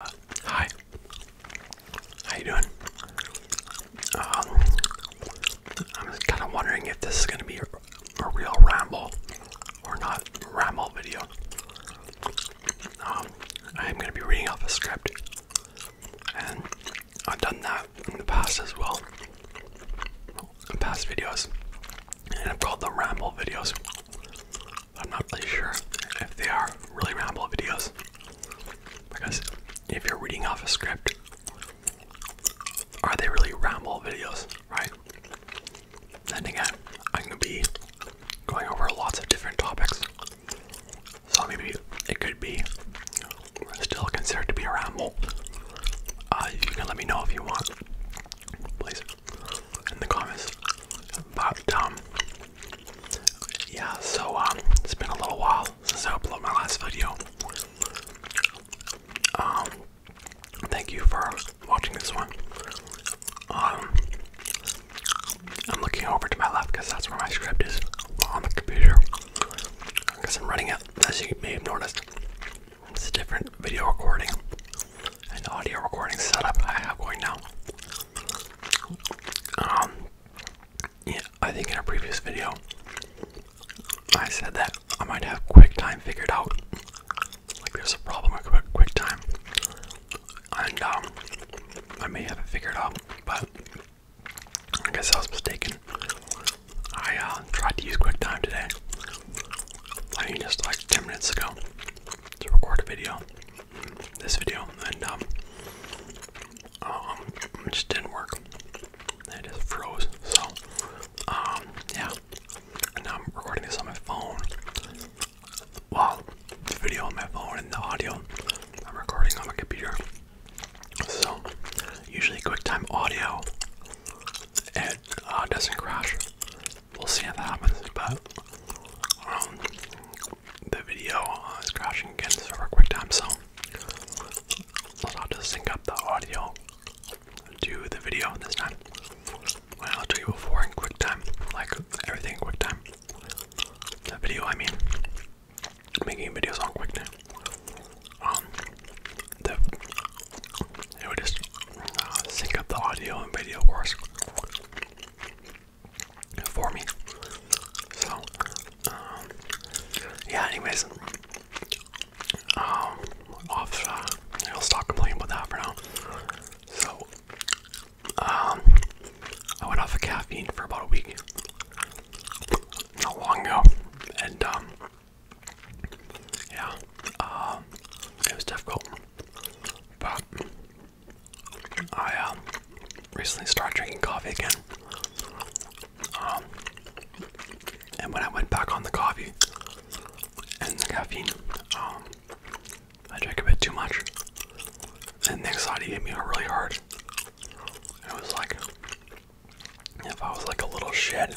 Hi. How you doing? Um, I'm kind of wondering if this is going to be a, real ramble or not ramble video. Um, I am going to be reading off a script, and I've done that in the past as well, past videos, and I've called the ramble videos. I'm not really sure if they are really ramble videos because if you're reading off a script, are they really ramble videos, right? And again, I'm gonna be going over lots of different topics, so maybe it could be still considered to be a ramble. Uh, you can let me know if you want, please, in the comments. But um, yeah, so um, it's been a little while since I uploaded my last video. Um, thank you for watching this one. Um, I'm looking over to my left because that's where my script is on the computer. Because I'm running it, as you may have noticed, it's a different video recording and audio recording setup I have going now. Um, yeah, I think in a previous video, I said that I might have QuickTime figured out. Like, there's a problem with Quick QuickTime, and um, I may have it figured out, but I guess I was mistaken. I uh, tried to use QuickTime today. I mean, just like 10 minutes ago to record a video, this video, and um, um, it just didn't work. It just froze. So, um, yeah. now I'm recording this on my phone. Wow, video on my phone and the audio I'm recording on my computer. So, usually QuickTime Audio it uh, doesn't crash we'll see how that happens. But um, the video uh, is crashing again for QuickTime, so I'll just sync up the audio to the video this time. I'll tell you before in QuickTime, like everything QuickTime. The video, I mean, making videos on QuickTime. Um, it would just uh, sync up the audio and video, course for me. So, um, yeah, anyways, um, uh, I'll stop complaining about that for now. So, um, I went off of caffeine for about a week, not long ago, and, um, yeah, um, it was difficult, but I uh, recently started drinking coffee again. Um, and when I went back on the coffee and the caffeine, um, I drank a bit too much. And the anxiety hit me really hard. It was like if I was like a little shed,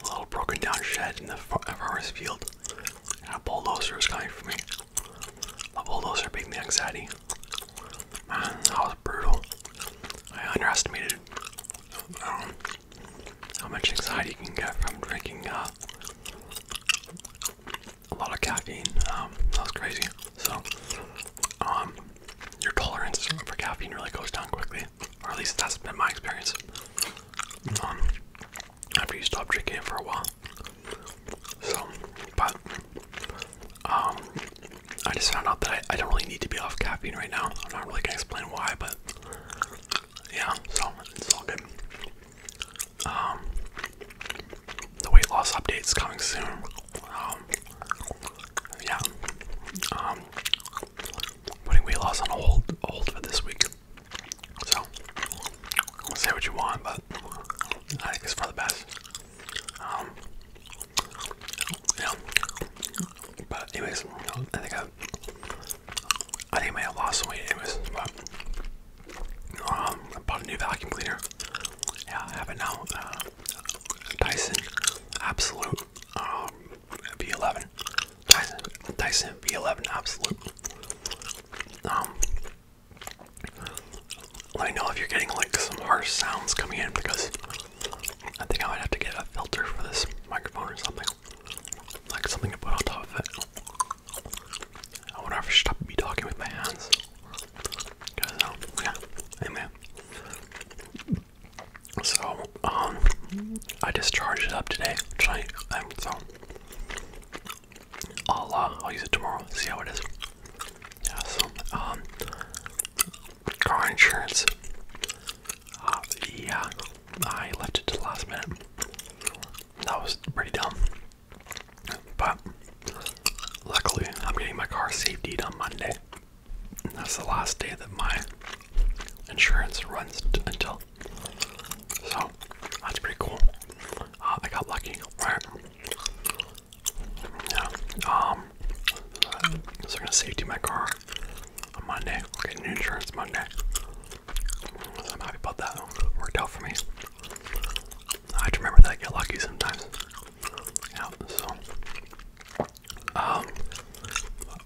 a little broken down shed in the forest field, and a bulldozer was coming for me those bulldozer being the anxiety. that was brutal. I underestimated um, how much anxiety you can get from drinking uh, a lot of caffeine. Um, that was crazy. So, um, your tolerance for caffeine really goes down quickly, or at least that's been my experience. Um, after you stop drinking it for a while. So, but um, I just found out that I, don't really need to be off caffeine right now. I'm not really gonna explain why, but yeah, so it's all good. Um, the weight loss update is coming soon. Um, yeah, um, putting weight loss on hold, hold for this week. So, say what you want, but I think it's for the best. Um, you know, but anyways, I think I, I think I may have lost some weight anyways, but um, bought a new vacuum cleaner. Yeah, I have it now. Uh, Dyson Absolute um, V11. Dyson V11 Absolute. Um, let me know if you're getting like some harsh sounds coming in because I think I might have to get a filter for this microphone or something. Like something to put on top of it. I wonder if stop should be talking with my hands. Cause um, yeah, anyway. So, um, I just charged it up today, tonight, so I'll uh, I'll use it tomorrow. See how it is. Yeah, so um, car insurance. Uh, yeah, I left it to the last minute. That was pretty dumb. But luckily, I'm getting my car safety on Monday. that's the last day that my insurance runs until so that's pretty cool. Uh, I got lucky, right? Yeah. Um. So I'm gonna safety my car on Monday. getting insurance Monday. So I'm happy about that. worked out for me. I remember that get lucky sometimes. Yeah. So. Um.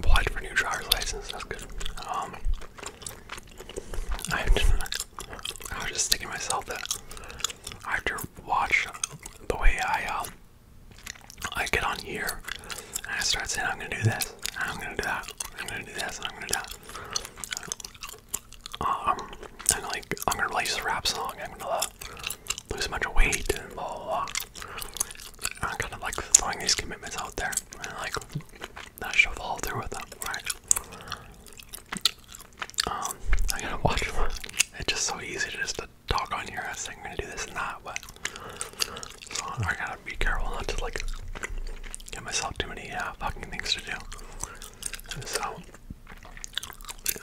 Applied for new driver's license. That's good. Um. I I was just thinking myself that I have to watch the way I um, I get on here and I start saying I'm gonna do this, I'm gonna do that, I'm gonna do this, and I'm gonna do that. Um, I'm like I'm gonna release a rap song, I'm gonna lose a bunch of weight and blah blah blah. I'm kind of like throwing these commitments out there, and like that she'll through with them, right? Um, I gotta watch It's just so easy to just to talk on here I think we're gonna do this and that, but so I gotta be careful not to like get myself too many uh, fucking things to do. so,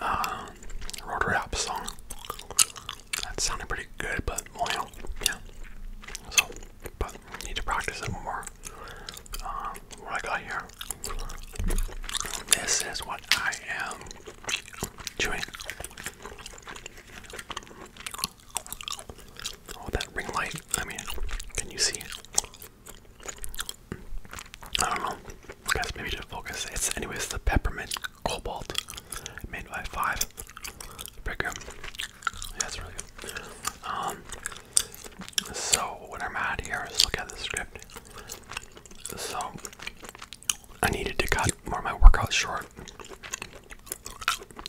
um, wrote song. That sounded pretty good, but well, yeah. So, but need to practice it more uh, what I got here. This is what I am chewing. Oh, that ring light. I mean, can you see? I don't know. I maybe just focus. It's, anyways, the peppermint cobalt made by Five. Pretty that's really good. Um, so what I'm at here is look at the script. So I needed to cut more of my workouts short.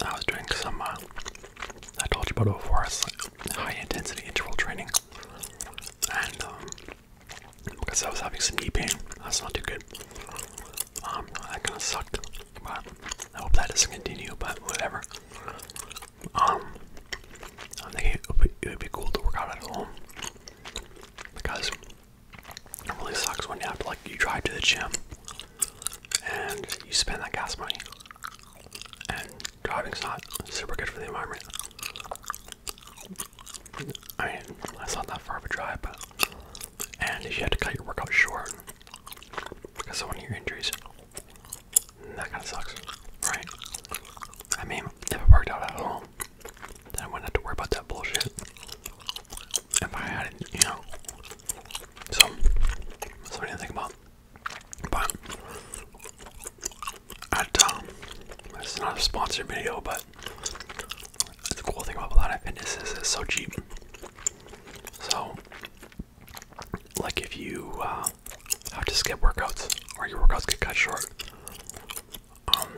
I was doing some, uh, I told you about it before, high intensity interval training. And um, because I was having some knee pain, that's not too good. Um, that kind of sucked, but I hope that doesn't continue, but whatever. Um, I think it would, be, cool to work out at home because it really sucks when you have to like you drive to the gym and you spend that gas money, and driving's not super good for the environment. I mean, that's not that far of a drive, but and you had to cut your workout short because of one of your injuries, that kind of sucks, right? I mean, if it worked out at home, then I wouldn't have to worry about that bullshit. If I had it, you know. So, something to think about. But, at, um, it's not a sponsored video, but the cool thing about a lot Pilates Fitness is it's so cheap. So, like if you uh, have to skip workouts or your workouts get cut short, um,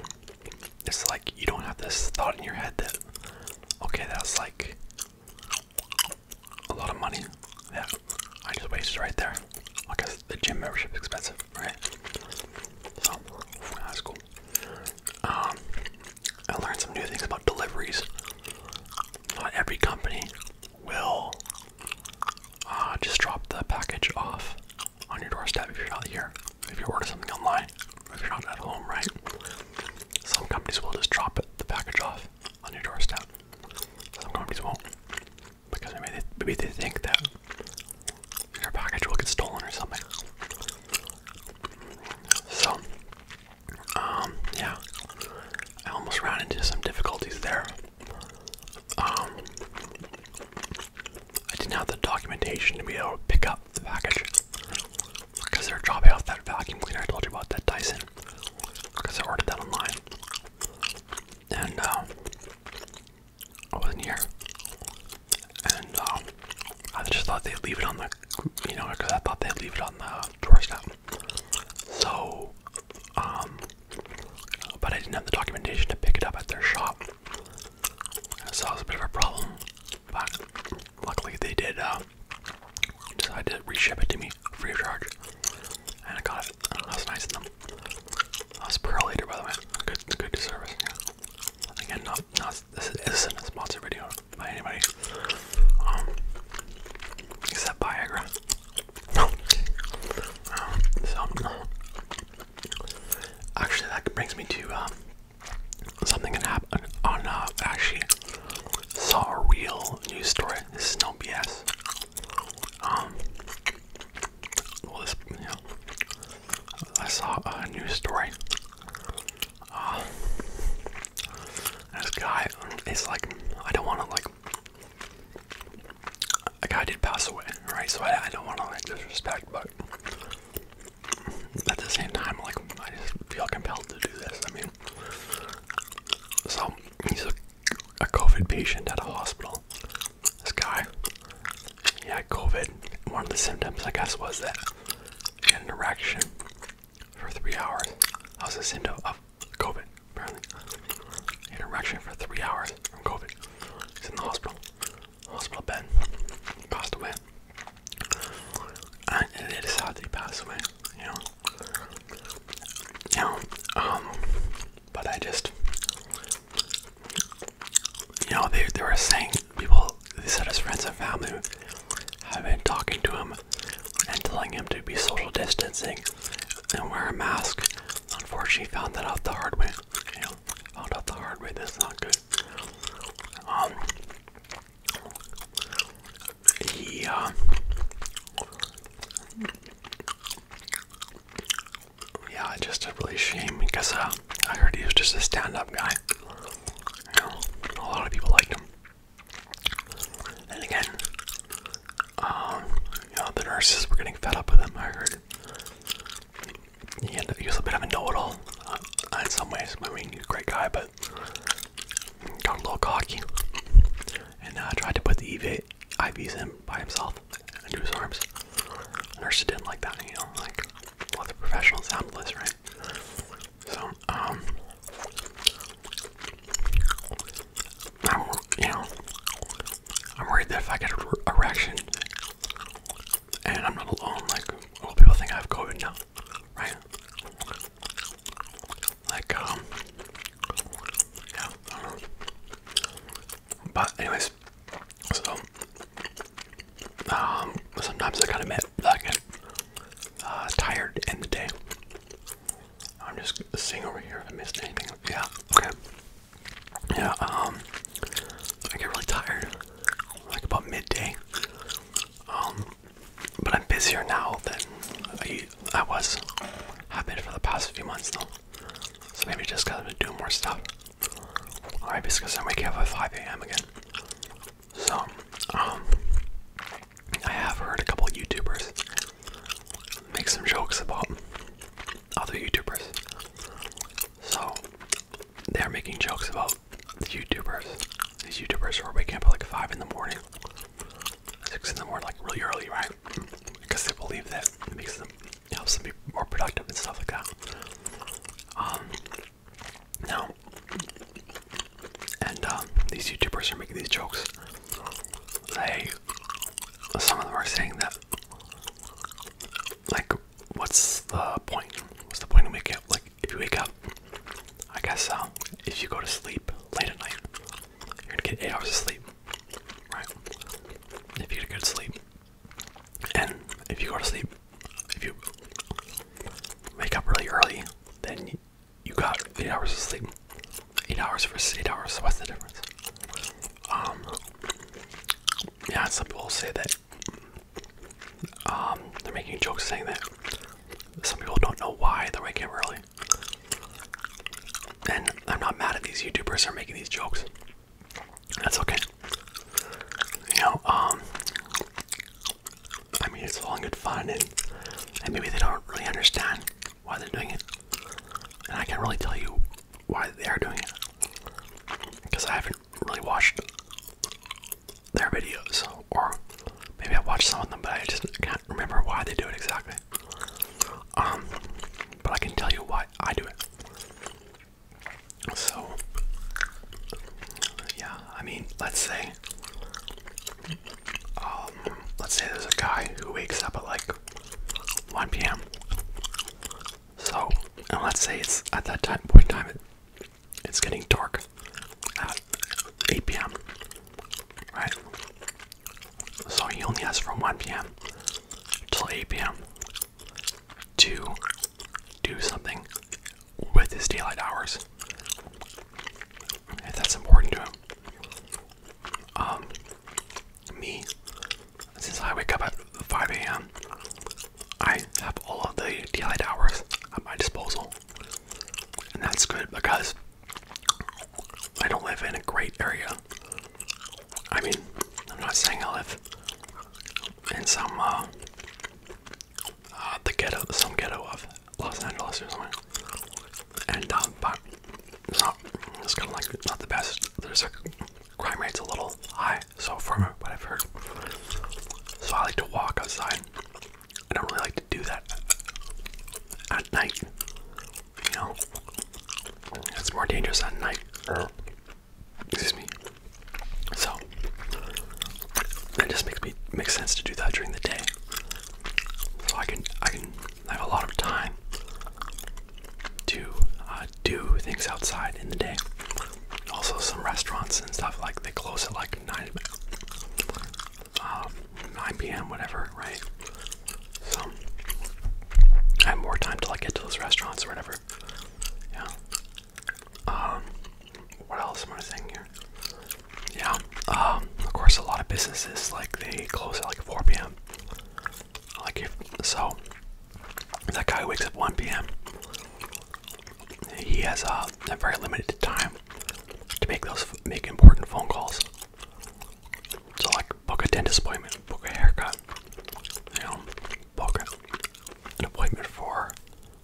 it's like you don't have this thought in your head that, okay, that's like a lot of money Yeah, I just wasted right there. Because the gym membership is expensive, right? So that's cool. Um, I learned some new things about deliveries not every company will uh, just drop the package off on your doorstep if you're not here. If you are ordering something online, if you're not at home, right? Some companies will just drop the package off on your doorstep. Some companies won't because maybe they, maybe they think that your package will get stolen or something. So um, yeah, I almost ran into some difficulties there. Um, I didn't have the documentation to be able to pick up the package because they're dropping off that vacuum cleaner I told you about, that Dyson, because I ordered that online. And, um, I wasn't here. And, um, I just thought they'd leave it on the, you know, because I thought they'd leave it on the off the So, um, but I didn't have the documentation to pick it up at their shop. that was a bit of a problem. But luckily they did uh, decide to reship it to me free of charge. And I got it. Uh, that was nice of them. That was Pearl later, by the way. Good, good service. Yeah. Again, not, not, this isn't a sponsored video by anybody. Um, is Viagra? No. Um, so, actually, that brings me to um, something that happened on. Uh, actually, saw a real news story. This is no BS. Um, I saw a news story. Uh, this guy is like, I don't want to like. A guy did pass away, right? So I, don't want to like disrespect, but at the same time, like I just feel compelled to do this. I mean, so he's a, COVID patient at a hospital. This guy, he had COVID. One of the symptoms, I guess, was that he an erection for three hours. I was a symptom of COVID, apparently. He had an for three hours from COVID. He's in the hospital, hospital bed, passed away. And it is sad that he passed away, you know. You know, um, but I just, you know, they, they were saying, people, they said his friends and family i have been talking to him and telling him to be social distancing and wear a mask. Unfortunately, found that out the hard way. You know, found out the hard way. That's not good. Um, he um, yeah, just a really shame because uh, I heard he was just a stand-up guy. a lot of people liked him. And again, um, the nurses were getting fed up with him. I heard he, ended up was a bit of a know-it-all uh, in some ways. I mean, he's a great guy, but got a little cocky and I uh, tried to put the EV, IVs in by himself into his arms. The nurses didn't like that, you know, like let the professionals handle this, right? So, um, you know, I'm worried that if I get an erection and I'm not alone, like, well, people think I have COVID now, right? Like, um, yeah, um, But, anyways, so, um, sometimes I kind of admit that I uh, tired to end the day. I'm just seeing over here if I missed anything. Yeah, okay. Yeah, um, I get really tired, like about midday. Um, but I'm busier now than I, was. I've been for the past few months though. So maybe just gotta do more stuff. Alright, because I'm waking up at 5 a.m. again. So, um, I have heard a couple YouTubers make some jokes about other YouTubers. So they're making jokes about the YouTubers. These YouTubers are waking up at like five in the morning, six in the morning, like really early, right? Because they believe that it makes them helps them be more productive and stuff like that. Um, now and um, these YouTubers are making these jokes. They, some of them are saying that, like, what's the point? What's the point of waking up? Like, if you wake up, I guess um, if you go to sleep late at night, you're gonna get eight hours of sleep, right? If you get good sleep, and if you go to sleep, if you wake up really early, then you got eight hours of sleep. Eight hours versus eight hours. what's the difference? Um, yeah, some people say that. Um, they're making jokes saying that some people don't know why they're waking early. And I'm not mad at these YouTubers who are making these jokes. That's okay. You know, um, I mean, it's all in good fun, and, maybe they don't really understand why they're doing it. And I can't really tell you why they are doing it because I haven't really watched their videos, or maybe I watched some of them, but I just can't remember why they do it exactly. Um, but I can tell you why I do it. So, yeah, I mean, let's say um, let's say there's a guy who wakes up at like 1 p.m. So, and let's say it's at that time point in time it, it's getting dark at 8 p.m. Right? So he only has from 1 p.m. till 8 p.m. to do something with his daylight hours if that's important to him. Um, me, since I wake up at 5 a.m., I have all of the daylight hours at my disposal, and that's good because I don't live in a great area. I mean, I'm not saying I live in some uh, uh, the ghetto, some ghetto of Los Angeles or something. And uh, but it's not, it's kind of like not the best. There's a crime rate's a little high, so far what I've heard. So I like to walk outside. I don't really like to do that at night. You know, it's more dangerous at night. Excuse me. So it just makes me makes sense to do that during the day so I can I can have a lot of time to uh, do things outside in the day. Also, some restaurants and stuff like they close at like nine, um, nine p.m. whatever, right? So I have more time till I get to those restaurants or whatever. Yeah. Um. What else am I saying here? yeah um, of course a lot of businesses like they close at like 4 p.m like if so that guy wakes up 1 p.m he has uh, a, very limited time to make those make important phone calls so like book a dentist appointment book a haircut you know book an appointment for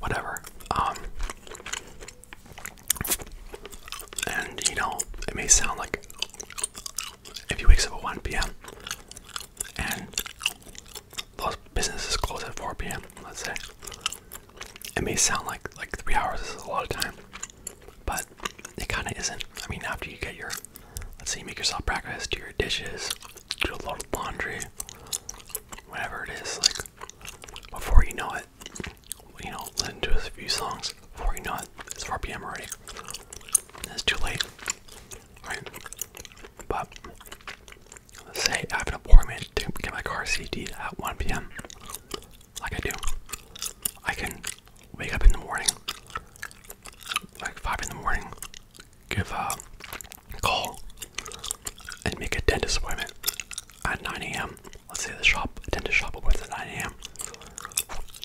whatever um, and you know, it may sound like if you wake up at 1 p.m. and those businesses close at 4 p.m., let's say, it may sound like like three hours is a lot of time, but it kind of isn't. I mean, after you get your, let's say you make yourself breakfast, do your dishes, do a little laundry, whatever it is, like before you know it, it, you know, listen to a few songs before you know it, it's 4 p.m. already. It's too late, right? But say I have an appointment to get my car cd at 1 p.m. Like I do, I can wake up in the morning, like 5 in the morning, give a call, and make a dentist appointment at 9 a.m. Let's say the shop, dentist shop opens at 9 a.m.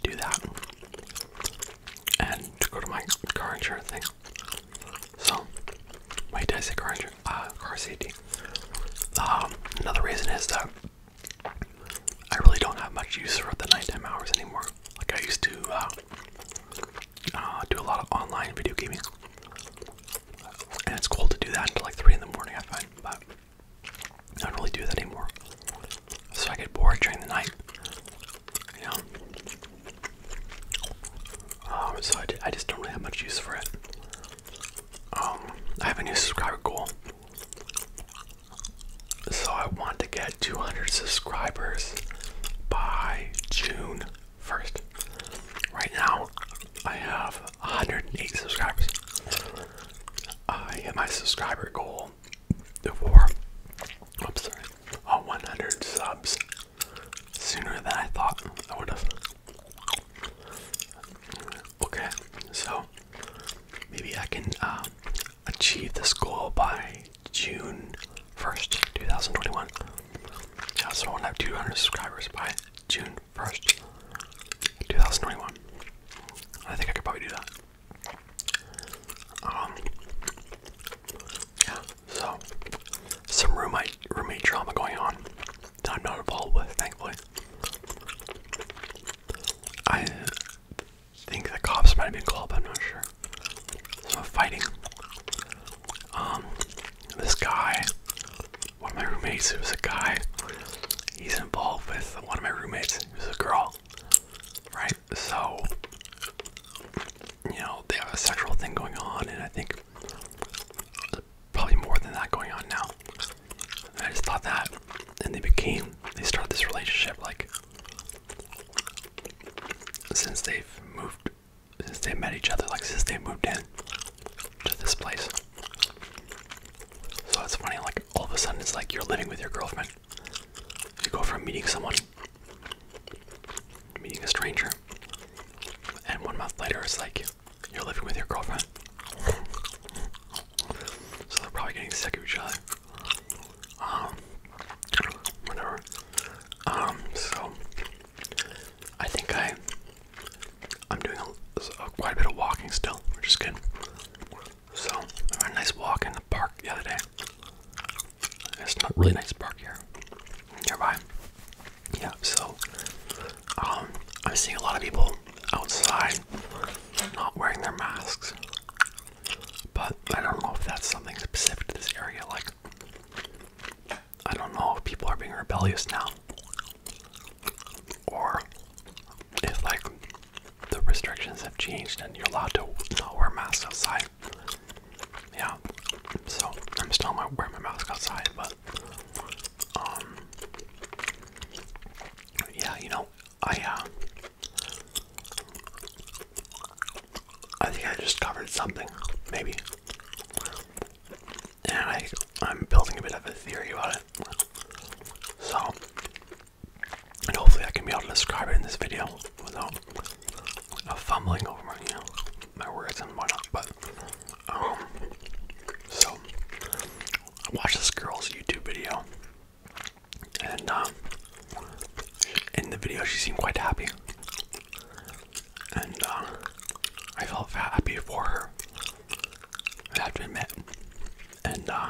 Do that. And go to my car insurance thing. So, wait, did I say car insurance? Uh, car safety. Um, another reason is that I really don't have much use for the nighttime hours anymore. Like I used to uh, uh do a lot of online video gaming. And it's cool to do that until like 3 in the morning, I find, but I don't really do that anymore. So I get bored during the night, you Um, so I, I just don't really have much use for it. Um, I have a new subscriber goal. So I want to get 200 subscribers by June 1st. Right now, I have 108 subscribers. I hit my subscriber goal before. I'm sorry. On 100 subs sooner than I thought I would have. Okay, so maybe I can um, achieve this goal by June 1st, 2021. I also want have 200 subscribers by June 1st, 2021. I think I could probably do that. Um, yeah, so some roommate roommate drama going on I'm not involved with, thankfully. I think the cops might have been called, but I'm not sure. Some fighting. Um, this guy one of my roommates who's a guy, he's involved with one of my roommates who's a girl, right? So, you know, they have a sexual thing going on, and I think probably more than that going on now. I just thought that, and they became, they started this relationship like since they've moved, since they met each other, like since they moved in to this place. So it's funny, like all of a sudden it's like you're living with your girlfriend. You go from meeting someone, meeting a stranger, and one month later it's like you're living with your girlfriend. so they're probably getting sick of each other. Um, whatever. Um, so I think I I'm doing a, a, quite a bit of walking still, which is good. So had a nice walk in the park the other day. It's not really nice park here nearby. Yeah, so um, I'm seeing a lot of people outside not wearing their masks. But I don't know if that's something specific to this area, like I don't know if people are being rebellious now or if like the restrictions have changed and you're allowed to not wear masks outside. Yeah, so I'm still not wearing my mask outside, but um, yeah, you know, I uh, I think I just covered something, maybe and I, I'm building a bit of a theory about it. So, and hopefully I can be able to describe it in this video without uh, fumbling over my, you know, my words and whatnot. But, um, so I watched this girl's YouTube video, and um, in the video she seemed quite happy and uh, I felt happy for her. I have to admit, and uh,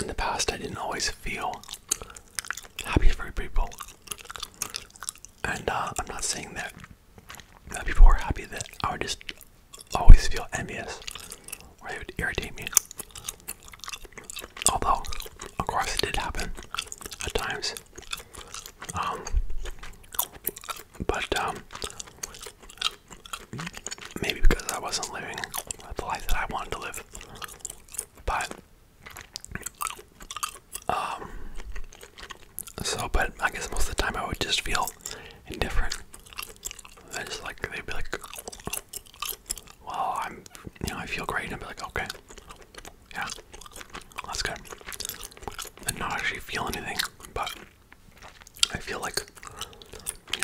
in the past, I didn't always feel happy for people, and uh, I'm not saying that people were happy that I would just always feel envious or it would irritate me. Although, of course, it did happen at times. Um, but um, maybe because I wasn't living the life that I wanted to live, but um, so but I guess most of the time I would just feel indifferent. I just like they'd be like, well, I'm, you know, I feel great. And I'd be like, okay, yeah, that's good. i not actually feel anything, but I feel like, you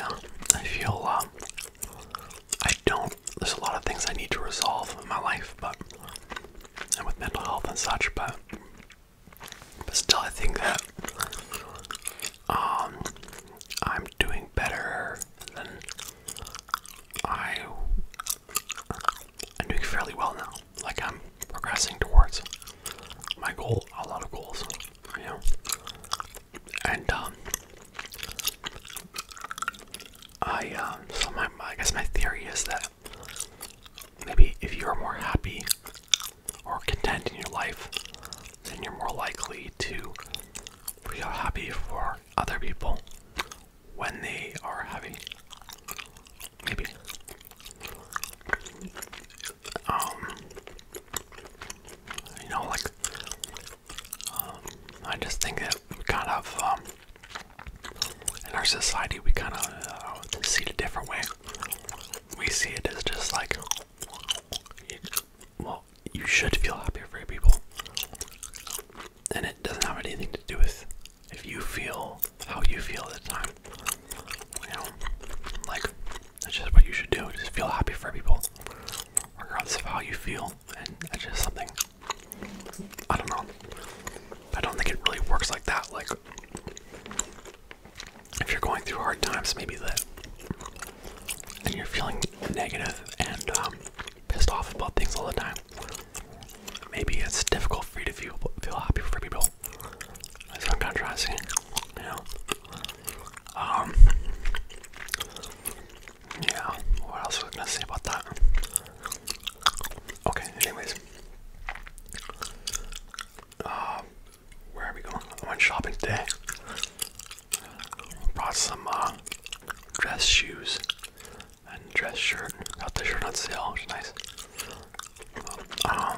I feel, um, I don't, there's a lot of things I need to resolve in my life, but, and with mental health and such, but, but still I think that, um, I'm doing better than I, I'm doing fairly well now like I'm progressing towards my goal, a lot of goals, you know. And um, I um, so my I guess my theory is that maybe if you are more happy or content in your life, then you're more likely to feel happy for other people when they are happy maybe. Um, you know, like, um, I just think that kind of, um, in our society, we kind of uh, see it a different way. We see it as just like, well, you should feel happy for people, and it doesn't have anything to do with if you feel how you feel at the time, you know, like that's just what you should do. Just feel happy for people, regardless of how you feel, and that's just something. I don't know. I don't think it really works like that. Like, if you're going through hard times, maybe that, and you're feeling negative and um, pissed off about things all the time maybe it's difficult for you to feel feel happy for people. That's what I'm trying to say. You know. Um. Yeah. What else was I gonna say about that? Okay. Anyways. Uh, where are we going? I went shopping today. Brought some uh, dress shoes and dress shirt. Got the shirt on sale, nice. Um,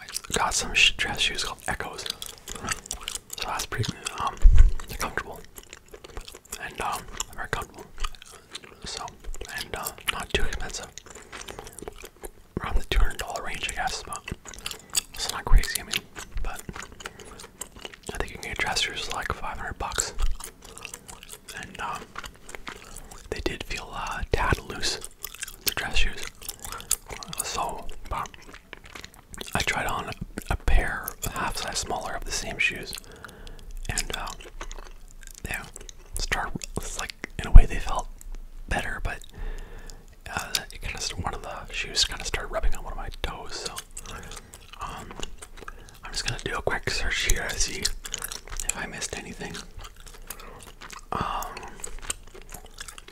I got some dress shoes called Echoes, so that's pretty um, comfortable, and um, very comfortable. So and uh, not too expensive, around the two hundred dollar range, I guess. So it's not crazy. I mean, but I think you can get dress shoes like five hundred bucks and um, they did feel a uh, tad loose, the dress shoes. So, um, I tried on a pair, half size smaller, of the same shoes, and um, yeah, start like in a way they felt better, but uh, it kind of one of the shoes kind of started rubbing on one of my toes, so um, I'm just gonna do a quick search here to see if I missed anything. Um,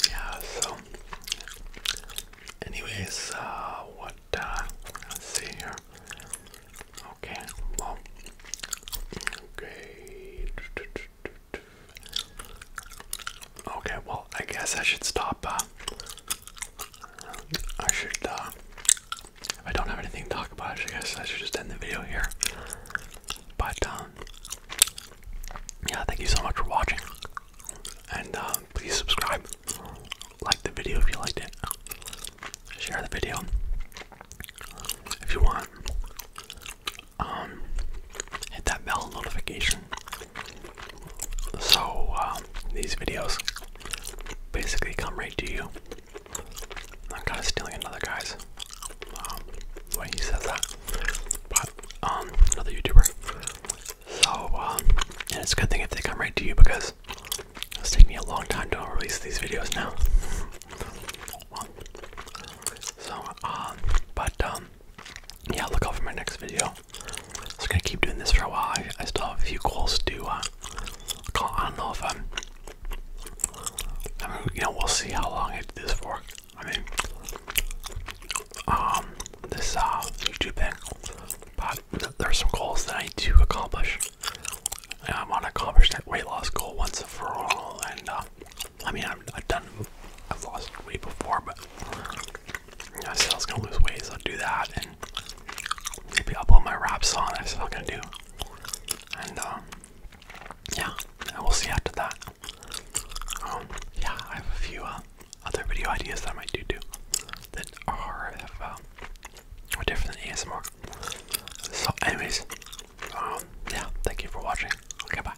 yeah, so, anyways, uh, what, uh, let's see here. Okay, well, okay. Okay, well, I guess I should stop, uh, I should, uh, if I don't have anything to talk about. I guess I should just end the video here. But um, yeah, thank you so much for watching, and um, please subscribe, like the video if you liked it, share the video if you want. Um, hit that bell notification so these videos basically come right to you I'm kind of stealing another guy's um, way he says that, but um, another YouTuber. So um, and it's a good thing if they come right to you because it's taking me a long time to release these videos now. So um, but um, yeah, look out for my next video. I'm just gonna keep doing this for a while. I, still have a few calls to uh, call. I don't know if I'm um, you know, we'll see how long I do this for. I mean, um, this uh, YouTube thing, but there's some goals that I need to accomplish. And I want to accomplish that weight loss goal once and for all. And uh, I mean, i have done, I've lost weight before, but I said I was gonna lose weight, so I'll do that. And maybe I'll put my rap song. I still gonna do and uh, yeah, we'll see after that. Um, yeah, I have a few uh, other video ideas that I might do that are um, different than ASMR. So, anyways, um, yeah, thank you for watching. Okay, bye.